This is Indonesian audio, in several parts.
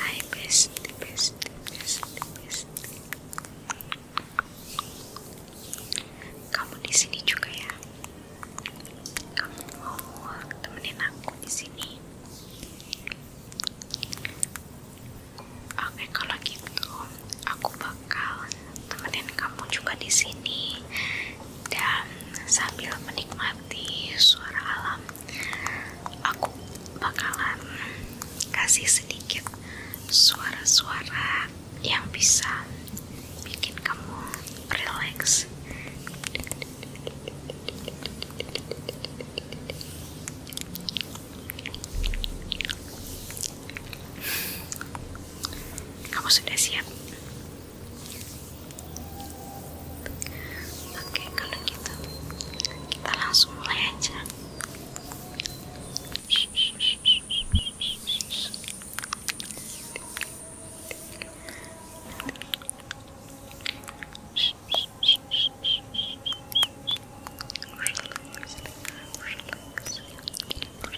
Ay, bestie, Kamu di sini juga ya? Kamu mau temenin aku di sini? Oke, kalau gitu aku bakal bakal temenin kamu juga di sini dan sambil menikmati suara alam aku bakalan kasih sedikit suara-suara yang bisa bikin kamu relax kamu sudah siap? Oke, kalau gitu kita langsung mulai aja.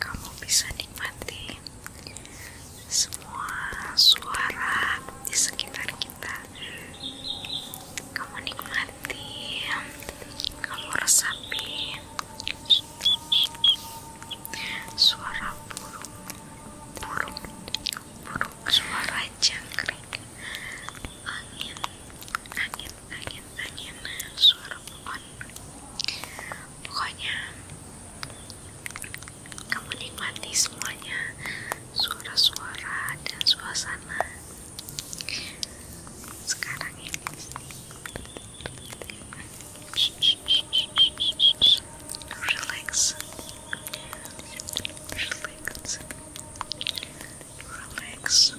kamu bisa nikmati semua suara di sekitar kita kamu nikmati kamu resapi suara burung burung burung suara jangkrik angin angin angin-angin suara pokoknya kamu nikmati semuanya suara-suara dan suasana sekarang ini relax relax relax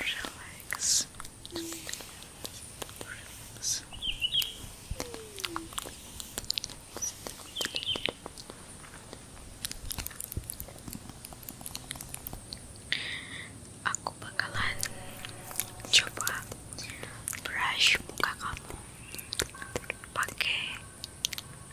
Relax. Aku bakalan coba brush muka kamu pakai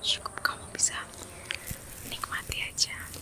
cukup kamu bisa nikmati aja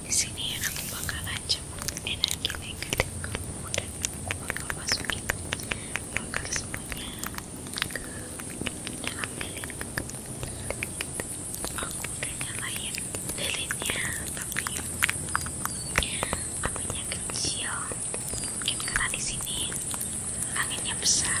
Di sini aku bakalan macam energi negatif kamu dan bakal masukin bakal semuanya ke dalam lilin aku udah nyalain lilinnya tapi aku apinya kecil mungkin karena di sini anginnya besar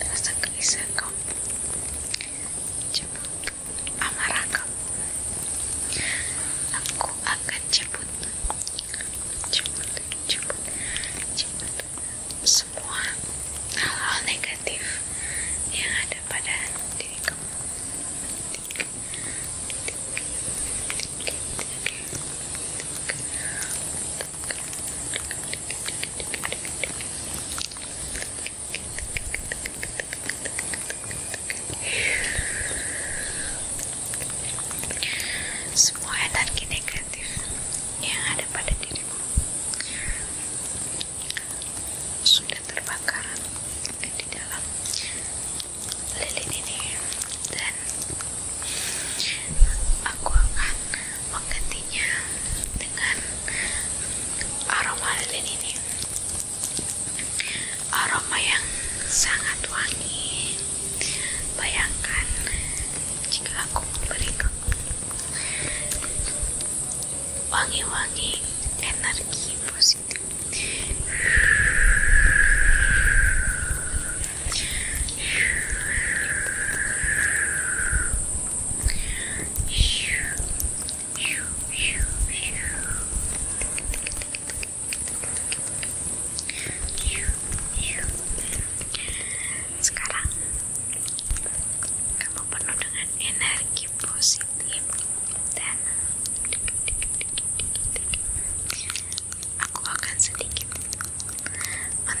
rasa gelisah kamu jemput amarah kamu aku akan jemput jemput, jemput, semua hal negatif yang ada pada diri kamu semua energi negatif yang ada pada dirimu sudah terbakar di dalam lilin ini dan aku akan menggantinya dengan aroma lilin ini aroma yang sangat wangi bayangkan jika aku memberi wangi-wangi energi positif sekarang kamu penuh dengan energi positif dan aku akan sedikit men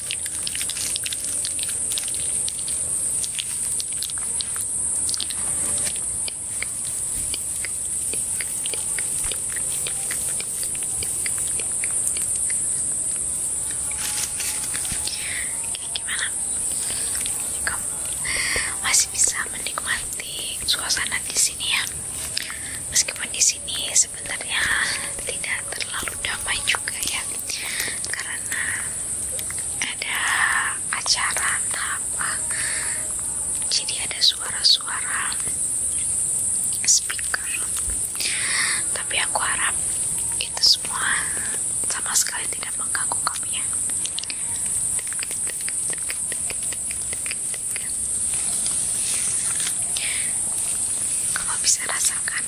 Gimana? Kamu masih bisa menikmati suasana di sini ya? Meskipun di sini sebenarnya tidak terlalu juga ya karena ada acara jadi ada suara-suara speaker tapi aku harap itu semua sama sekali tidak mengganggu kamu ya kamu bisa rasakan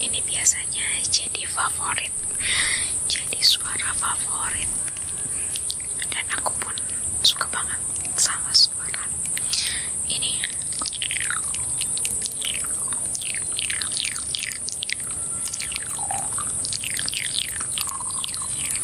Ini biasanya jadi favorit, jadi suara favorit, dan aku pun suka banget sama suara ini.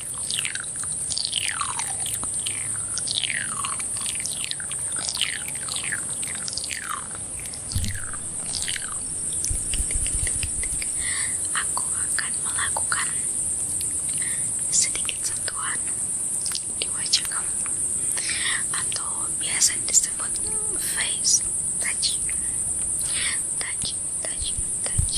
Aku akan melakukan sedikit sentuhan di wajah kamu atau biasa disebut face touch touch touch touch